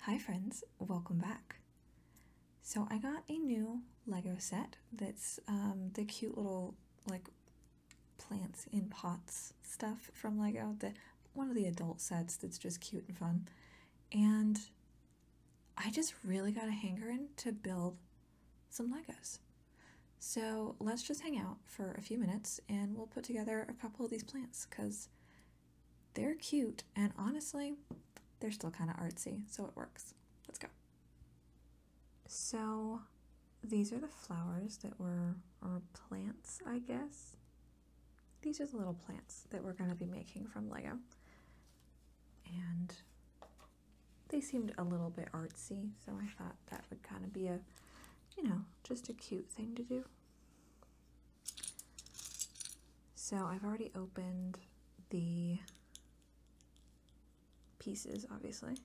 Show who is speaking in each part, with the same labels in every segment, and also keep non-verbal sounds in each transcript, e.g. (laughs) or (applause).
Speaker 1: Hi friends, welcome back. So I got a new Lego set that's um, the cute little like plants in pots stuff from Lego, the one of the adult sets that's just cute and fun. And I just really got a hankering to build some Legos. So let's just hang out for a few minutes and we'll put together a couple of these plants because they're cute and honestly they're still kind of artsy so it works let's go so these are the flowers that were or plants i guess these are the little plants that we're going to be making from lego and they seemed a little bit artsy so i thought that would kind of be a you know just a cute thing to do so I've already opened the pieces, obviously.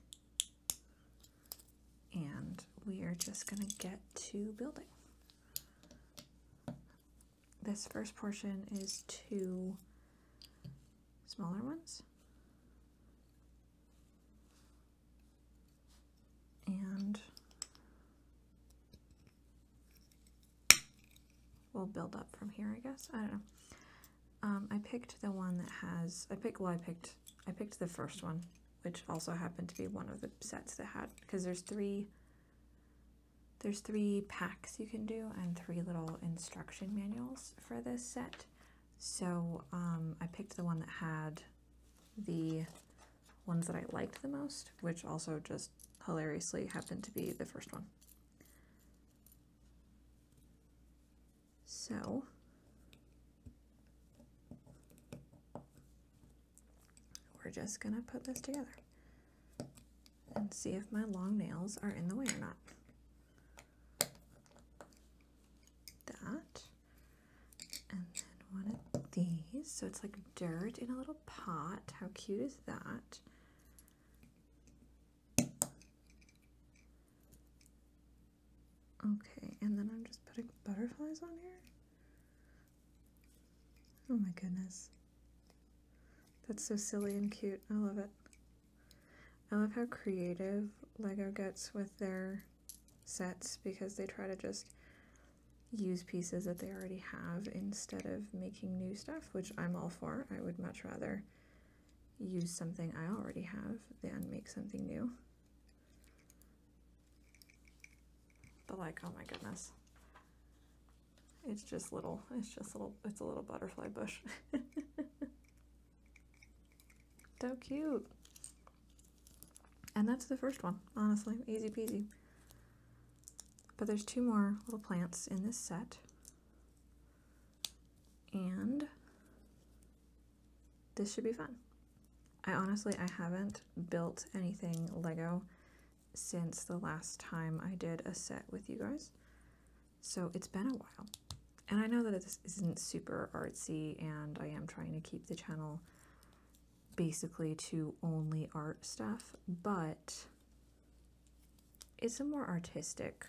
Speaker 1: And we are just going to get to building. This first portion is two smaller ones. And we'll build up from here, I guess. I don't know. Um, I picked the one that has, I picked, well, I picked, I picked the first one, which also happened to be one of the sets that had, because there's three, there's three packs you can do and three little instruction manuals for this set. So um, I picked the one that had the ones that I liked the most, which also just hilariously happened to be the first one. So, we're just going to put this together and see if my long nails are in the way or not. That, and then one of these, so it's like dirt in a little pot. How cute is that? Okay, and then I'm just putting butterflies on here. Oh my goodness. That's so silly and cute. I love it. I love how creative LEGO gets with their sets because they try to just use pieces that they already have instead of making new stuff, which I'm all for. I would much rather use something I already have than make something new. But like, oh my goodness. It's just little, it's just little, it's a little butterfly bush. (laughs) so cute. And that's the first one, honestly, easy peasy. But there's two more little plants in this set. And this should be fun. I honestly, I haven't built anything Lego since the last time I did a set with you guys. So it's been a while. And I know that this isn't super artsy and I am trying to keep the channel basically to only art stuff, but it's a more artistic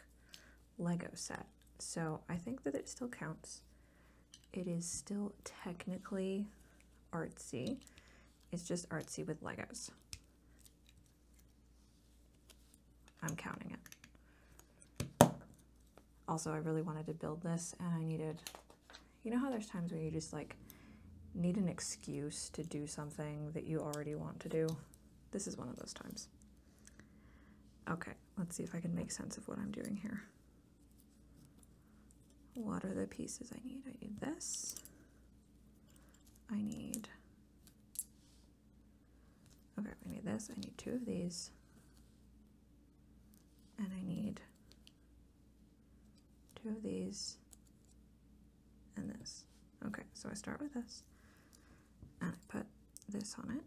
Speaker 1: Lego set. So I think that it still counts. It is still technically artsy. It's just artsy with Legos. I'm counting it. Also, I really wanted to build this and I needed you know how there's times where you just like need an excuse to do something that you already want to do? This is one of those times. Okay, let's see if I can make sense of what I'm doing here. What are the pieces I need? I need this. I need... Okay, I need this. I need two of these. And I need two of these and this. Okay, so I start with this, and I put this on it,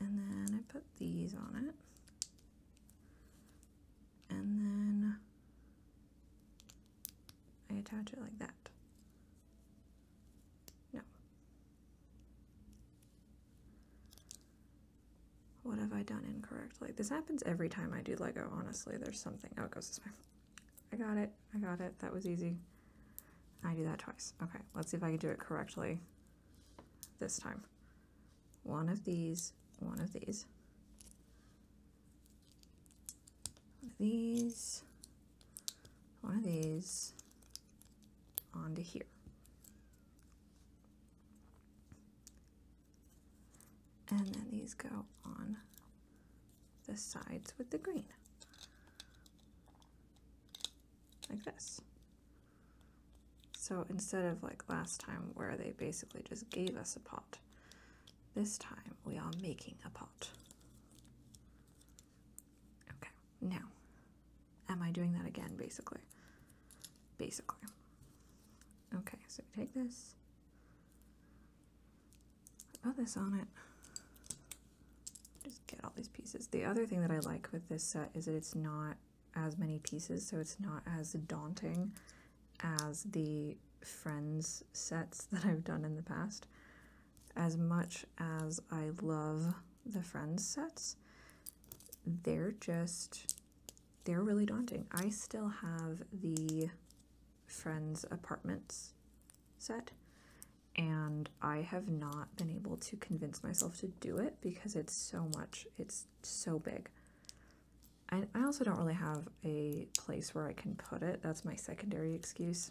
Speaker 1: and then I put these on it, and then I attach it like that. No. What have I done incorrectly? This happens every time I do Lego, honestly. There's something. Oh, it goes this way. I got it. I got it. That was easy. I do that twice. Okay, let's see if I can do it correctly this time. One of these, one of these. these, one of these, onto here. And then these go on the sides with the green. Like this. So instead of like last time where they basically just gave us a pot, this time we are making a pot. Okay, now, am I doing that again basically? Basically. Okay, so we take this, I oh, love this on it. Just get all these pieces. The other thing that I like with this set is that it's not as many pieces, so it's not as daunting as the Friends sets (laughs) that I've done in the past. As much as I love the Friends sets, they're just they're really daunting. I still have the Friends Apartments set and I have not been able to convince myself to do it because it's so much, it's so big. And I also don't really have a place where I can put it. That's my secondary excuse.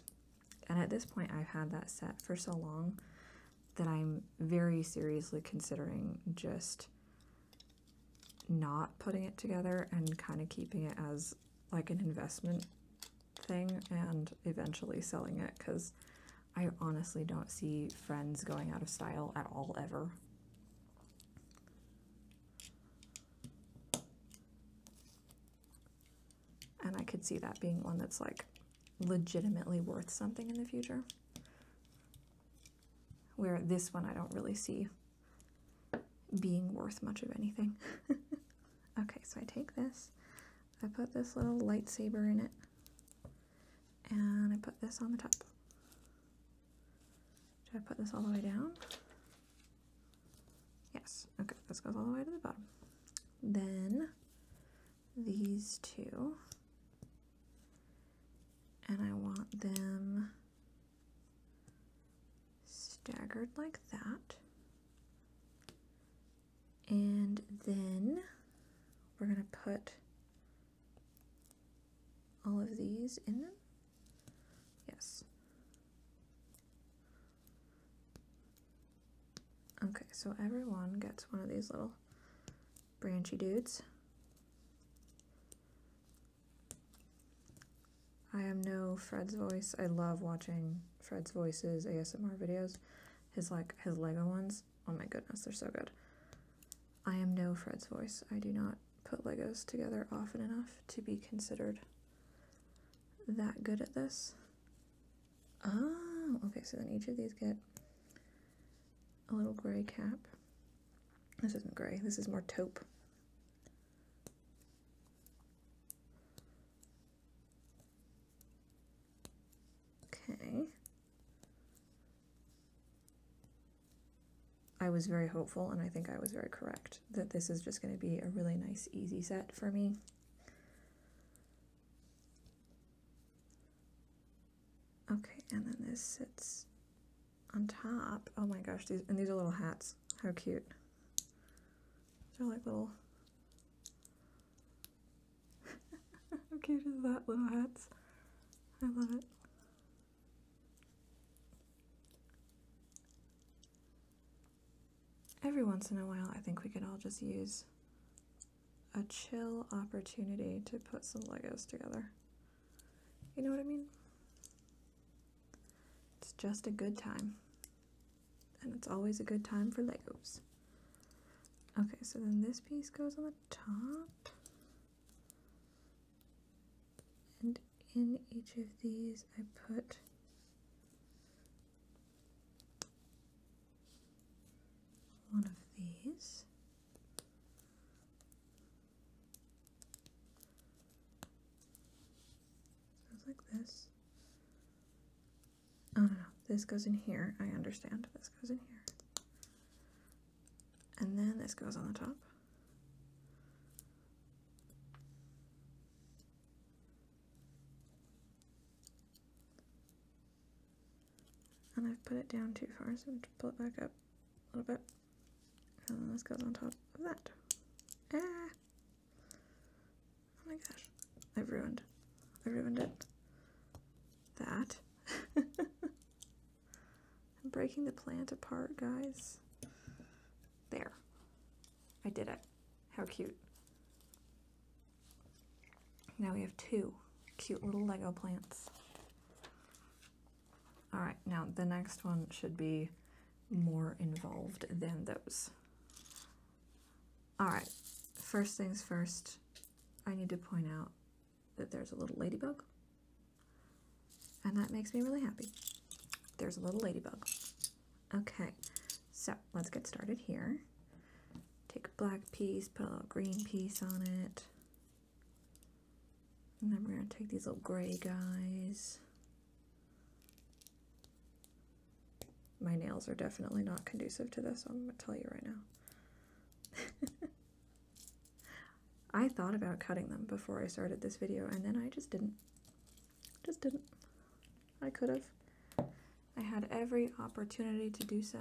Speaker 1: And at this point, I've had that set for so long that I'm very seriously considering just not putting it together and kind of keeping it as like an investment thing and eventually selling it because I honestly don't see friends going out of style at all ever. And I could see that being one that's like legitimately worth something in the future where this one I don't really see being worth much of anything. (laughs) okay, so I take this, I put this little lightsaber in it, and I put this on the top. Do I put this all the way down? Yes, okay, this goes all the way to the bottom. Then these two, and I want them staggered like that. And then we're going to put all of these in them. Yes. Okay, so everyone gets one of these little branchy dudes. I am no Fred's voice. I love watching Fred's voices ASMR videos. His like his Lego ones. Oh my goodness, they're so good. I am no Fred's voice. I do not put Legos together often enough to be considered that good at this. Oh, okay, so then each of these get a little gray cap. This isn't gray, this is more taupe. Okay. I was very hopeful, and I think I was very correct, that this is just going to be a really nice, easy set for me. Okay, and then this sits on top. Oh my gosh, these and these are little hats. How cute. They're like little (laughs) How cute is that? Little hats. I love it. Every once in a while, I think we could all just use a chill opportunity to put some Legos together. You know what I mean? It's just a good time. And it's always a good time for Legos. Okay, so then this piece goes on the top. And in each of these I put one of these Goes like this. Oh no, no, this goes in here. I understand. This goes in here. And then this goes on the top. And I've put it down too far, so I'm going to pull it back up a little bit. And then this goes on top of that. Ah. Oh my gosh. I've ruined. I ruined it. That. (laughs) I'm breaking the plant apart, guys. There. I did it. How cute. Now we have two cute little Lego plants. All right, now the next one should be more involved than those. All right, first things first, I need to point out that there's a little ladybug, and that makes me really happy. There's a little ladybug. Okay, so let's get started here. Take a black piece, put a little green piece on it. And then we're going to take these little gray guys. My nails are definitely not conducive to this, I'm going to tell you right now. (laughs) I thought about cutting them before I started this video, and then I just didn't. Just didn't. I could have. I had every opportunity to do so,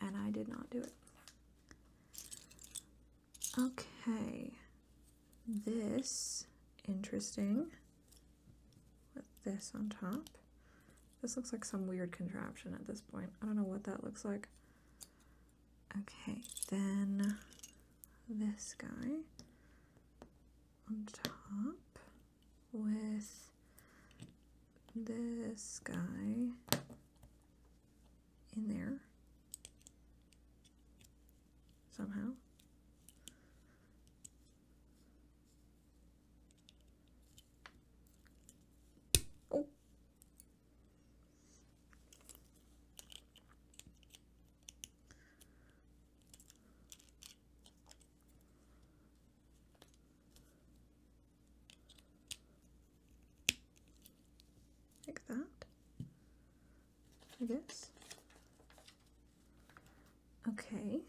Speaker 1: and I did not do it. Okay, this, interesting. With this on top. This looks like some weird contraption at this point. I don't know what that looks like. Okay, then this guy on top with this guy in there somehow. Oh. Like that. I guess. Okay,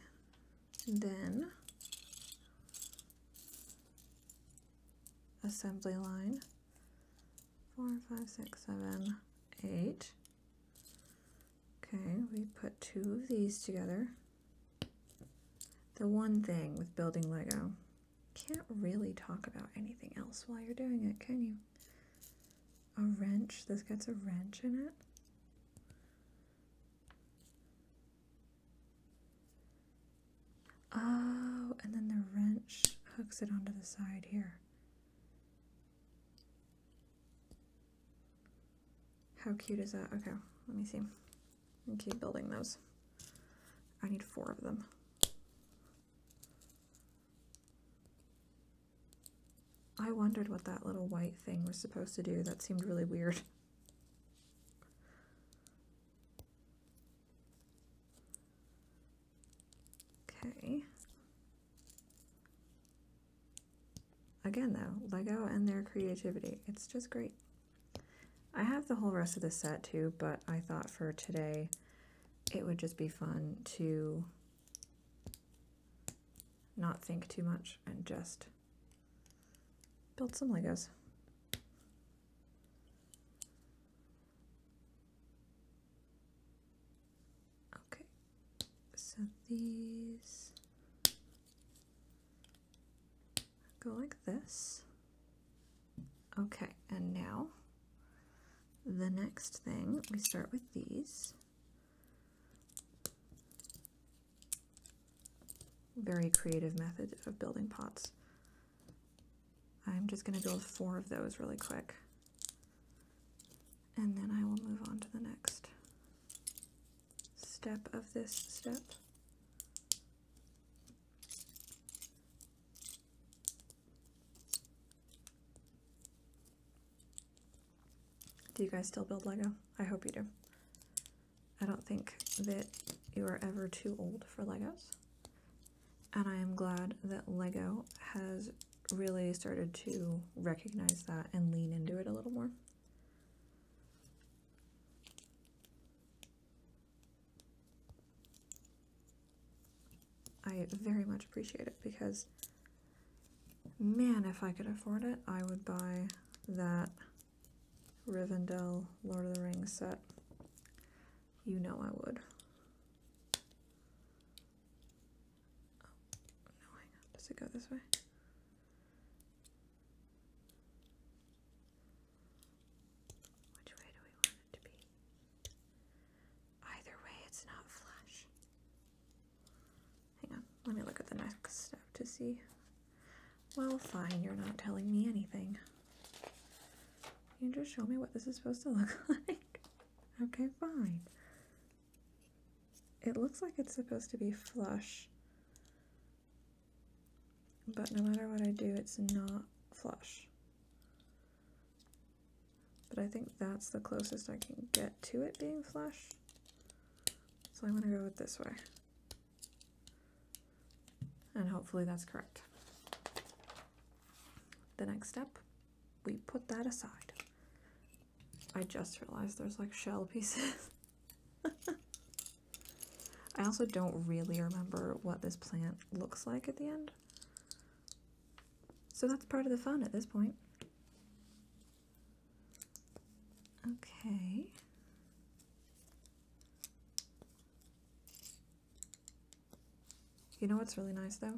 Speaker 1: then assembly line four, five, six, seven, eight. Okay, we put two of these together. The one thing with building Lego can't really talk about anything else while you're doing it, can you? A wrench? This gets a wrench in it? Oh, and then the wrench hooks it onto the side here. How cute is that? Okay, let me see. keep building those. I need four of them. I wondered what that little white thing was supposed to do. That seemed really weird. Okay. Again, though, Lego and their creativity. It's just great. I have the whole rest of the set too, but I thought for today it would just be fun to not think too much and just build some Legos. Okay, so these go like this. Okay, and now the next thing, we start with these. Very creative method of building pots. I'm just going to build four of those really quick. And then I will move on to the next step of this step. Do you guys still build Lego? I hope you do. I don't think that you are ever too old for Legos. And I am glad that Lego has really started to recognize that and lean into it a little more. I very much appreciate it because, man, if I could afford it, I would buy that Rivendell Lord of the Rings set. You know I would. Oh, no, hang on. Does it go this way? Which way do we want it to be? Either way, it's not flush. Hang on, let me look at the next step to see. Well, fine, you're not telling me anything. You just show me what this is supposed to (laughs) look like. okay, fine. It looks like it's supposed to be flush, but no matter what I do, it's not flush. But I think that's the closest I can get to it being flush. So I'm going to go with this way. And hopefully that's correct. The next step, we put that aside. I just realized there's like shell pieces. (laughs) I also don't really remember what this plant looks like at the end. So that's part of the fun at this point. Okay. You know what's really nice though?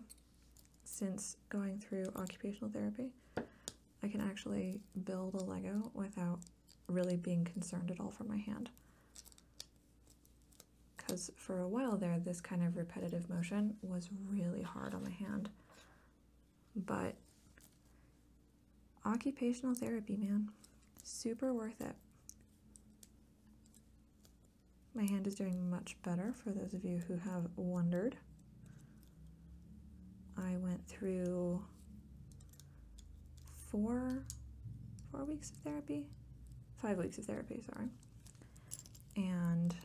Speaker 1: Since going through occupational therapy, I can actually build a Lego without really being concerned at all for my hand because for a while there this kind of repetitive motion was really hard on the hand but occupational therapy man super worth it my hand is doing much better for those of you who have wondered I went through four four weeks of therapy five weeks of therapy sorry and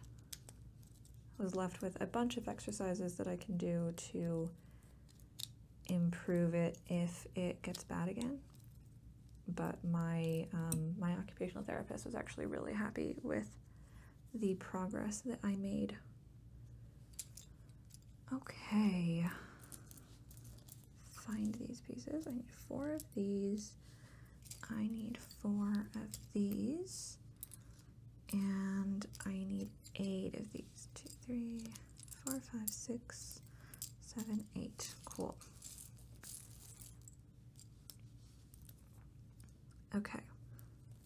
Speaker 1: was left with a bunch of exercises that I can do to improve it if it gets bad again. But my um, my occupational therapist was actually really happy with the progress that I made. Okay, find these pieces. I need four of these. I need four of these, and I need eight of these. Two, three, four, five, six, seven, eight. Cool. Okay,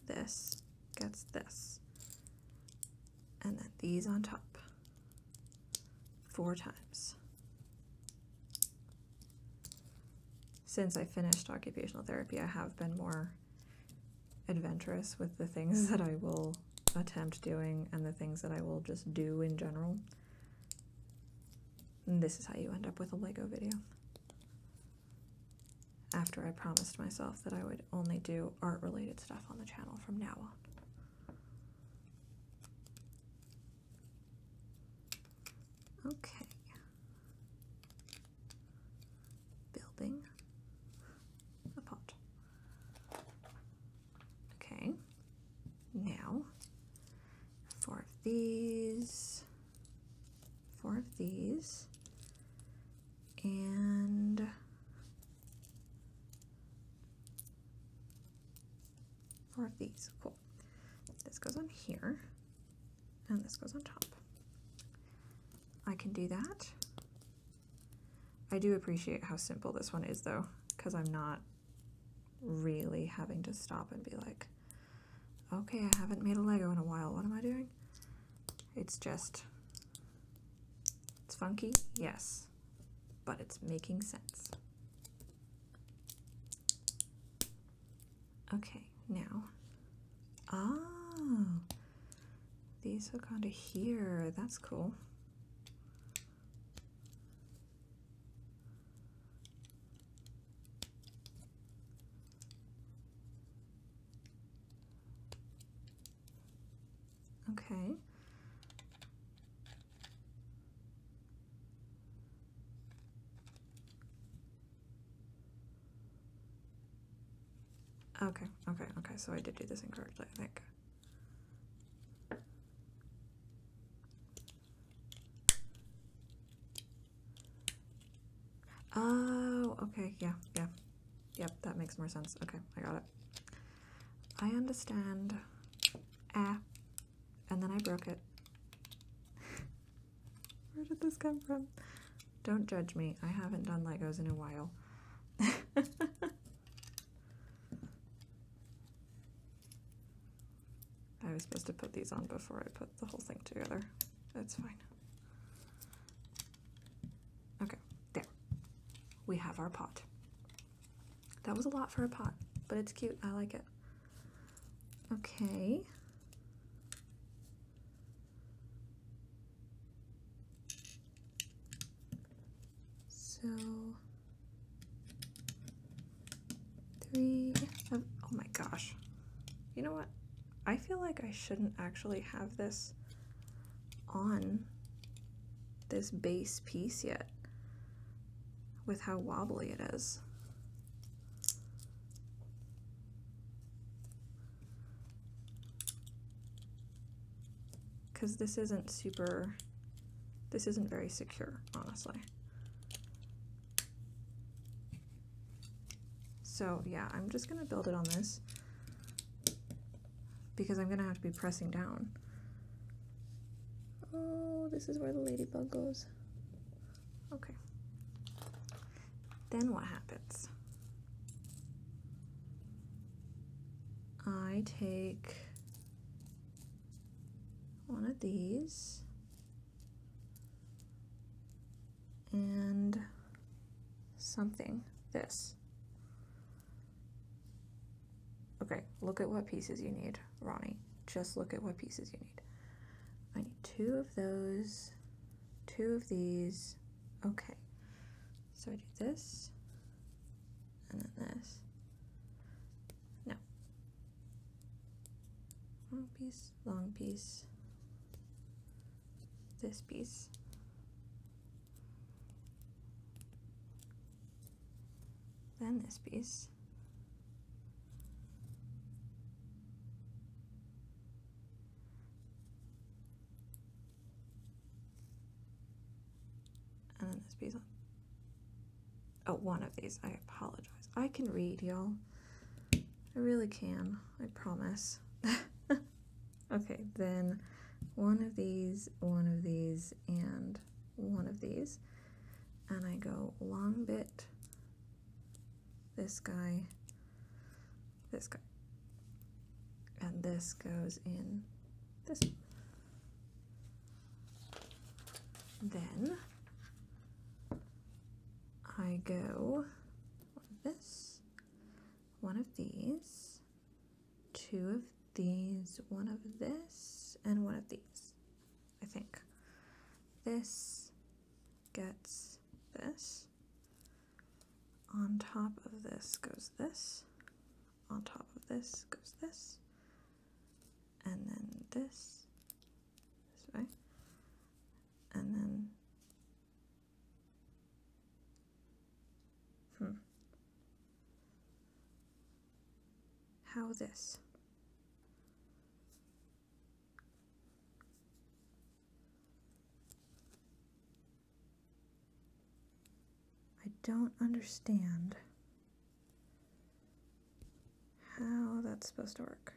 Speaker 1: this gets this, and then these on top four times since I finished occupational therapy, I have been more adventurous with the things (laughs) that I will attempt doing and the things that I will just do in general. this is how you end up with a Lego video. After I promised myself that I would only do art-related stuff on the channel from now on. Okay. Building a pot. Okay. Now, four of these, four of these, and four of these. Cool. This goes on here and this goes on top. I can do that. I do appreciate how simple this one is though, because I'm not really having to stop and be like, okay, I haven't made a Lego in a while, what am I doing? It's just, it's funky, yes, but it's making sense. Okay, now. Ah, these hook onto here. That's cool. Okay. Okay, okay, okay, so I did do this incorrectly, I think. Oh, okay, yeah, yeah. Yep, that makes more sense. Okay, I got it. I understand. Ah, and then I broke it. (laughs) Where did this come from? Don't judge me. I haven't done Legos in a while. (laughs) I was supposed to put these on before I put the whole thing together. That's fine. Okay, there. We have our pot. That was a lot for a pot, but it's cute. I like it. Okay. So three um, oh my gosh. You know what? I feel like I shouldn't actually have this on this base piece yet with how wobbly it is. Because this isn't super, this isn't very secure, honestly. So yeah, I'm just gonna build it on this because I'm gonna have to be pressing down. Oh, this is where the ladybug goes. Okay. Then what happens? I take one of these and something, this. Okay, look at what pieces you need, Ronnie. Just look at what pieces you need. I need two of those, two of these. Okay, so I do this, and then this. No. Long piece, long piece, this piece. Then this piece. And then this piece Oh, one of these. I apologize. I can read, y'all. I really can. I promise. (laughs) okay, then one of these, one of these, and one of these. And I go long bit, this guy, this guy, and this goes in this. Then I go this, one of these, two of these, one of this, and one of these, I think. This gets this. On top of this goes this. On top of this goes this. And then this. This way. And then. Hmm. How this? I don't understand how that's supposed to work.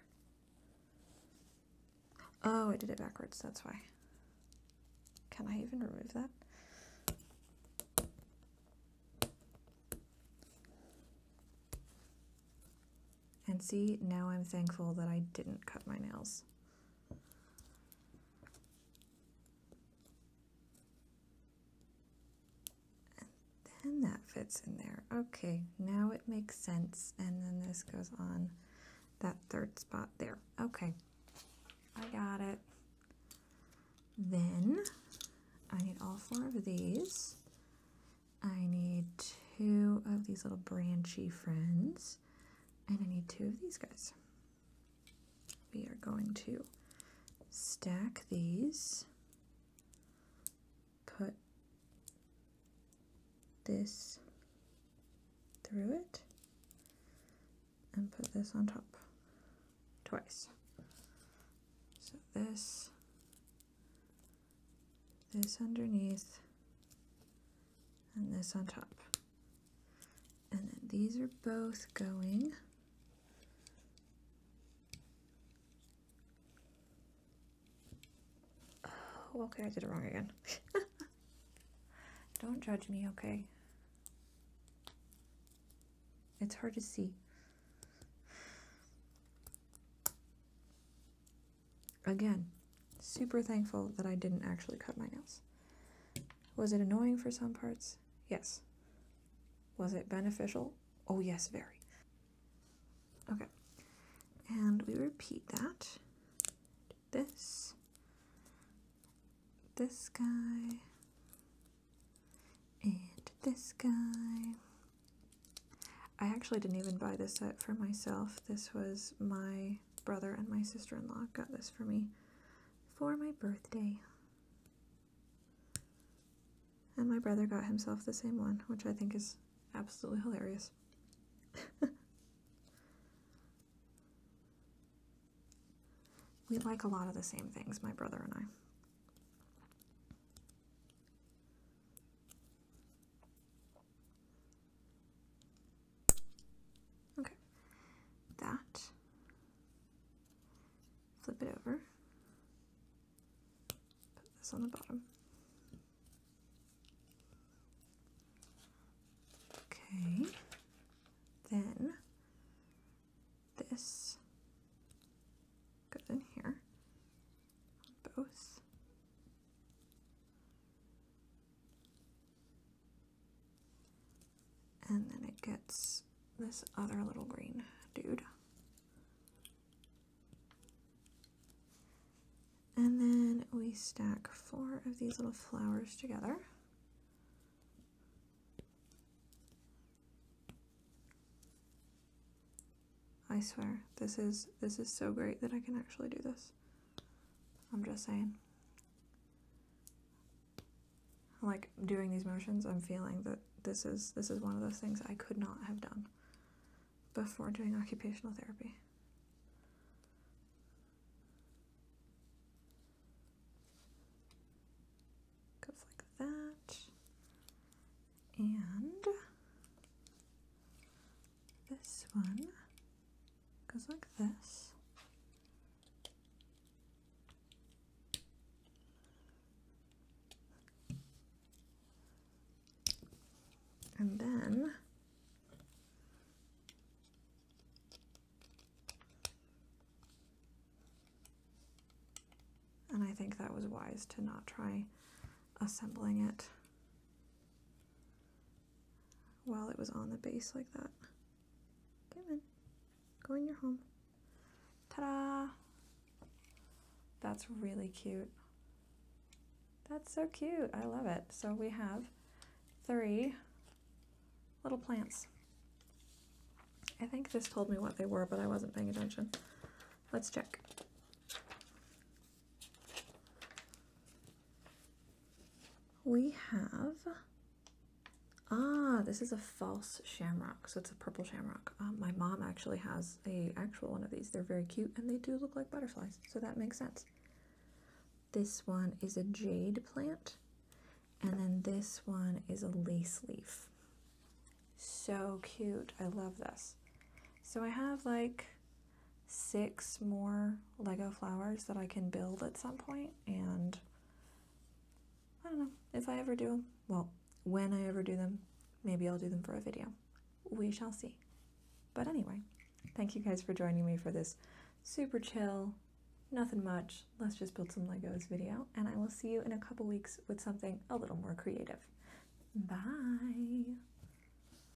Speaker 1: Oh, I did it backwards, that's why. Can I even remove that? And see, now I'm thankful that I didn't cut my nails. And that fits in there. Okay, now it makes sense. And then this goes on that third spot there. Okay, I got it. Then I need all four of these. I need two of these little branchy friends, and I need two of these guys. We are going to stack these, put this through it, and put this on top twice. So this this underneath and this on top. And then these are both going Oh, okay, I did it wrong again. (laughs) Don't judge me, okay? It's hard to see. Again, super thankful that I didn't actually cut my nails. Was it annoying for some parts? Yes. Was it beneficial? Oh, yes, very. Okay. And we repeat that. This. This guy. And this guy. I actually didn't even buy this set for myself. This was my brother and my sister-in-law got this for me for my birthday. And my brother got himself the same one, which I think is absolutely hilarious. (laughs) we like a lot of the same things, my brother and I. Okay. That. Flip it over. Put this on the bottom. Okay. Then this goes in here both. And then it gets this other little green dude. And then we stack four of these little flowers together. I swear, this is this is so great that I can actually do this. I'm just saying. Like doing these motions, I'm feeling that this is this is one of those things I could not have done before doing occupational therapy. Goes like that. And this one goes like this. And then and I think that was wise to not try assembling it while it was on the base like that. Come in. Go in your home. Ta-da! That's really cute. That's so cute. I love it. So we have three little plants. I think this told me what they were, but I wasn't paying attention. Let's check we have ah this is a false shamrock so it's a purple shamrock um, my mom actually has a actual one of these they're very cute and they do look like butterflies so that makes sense this one is a jade plant and then this one is a lace leaf so cute i love this so i have like six more Lego flowers that I can build at some point, and I don't know if I ever do Well, when I ever do them, maybe I'll do them for a video. We shall see. But anyway, thank you guys for joining me for this super chill, nothing much, let's just build some Legos video, and I will see you in a couple weeks with something a little more creative. Bye!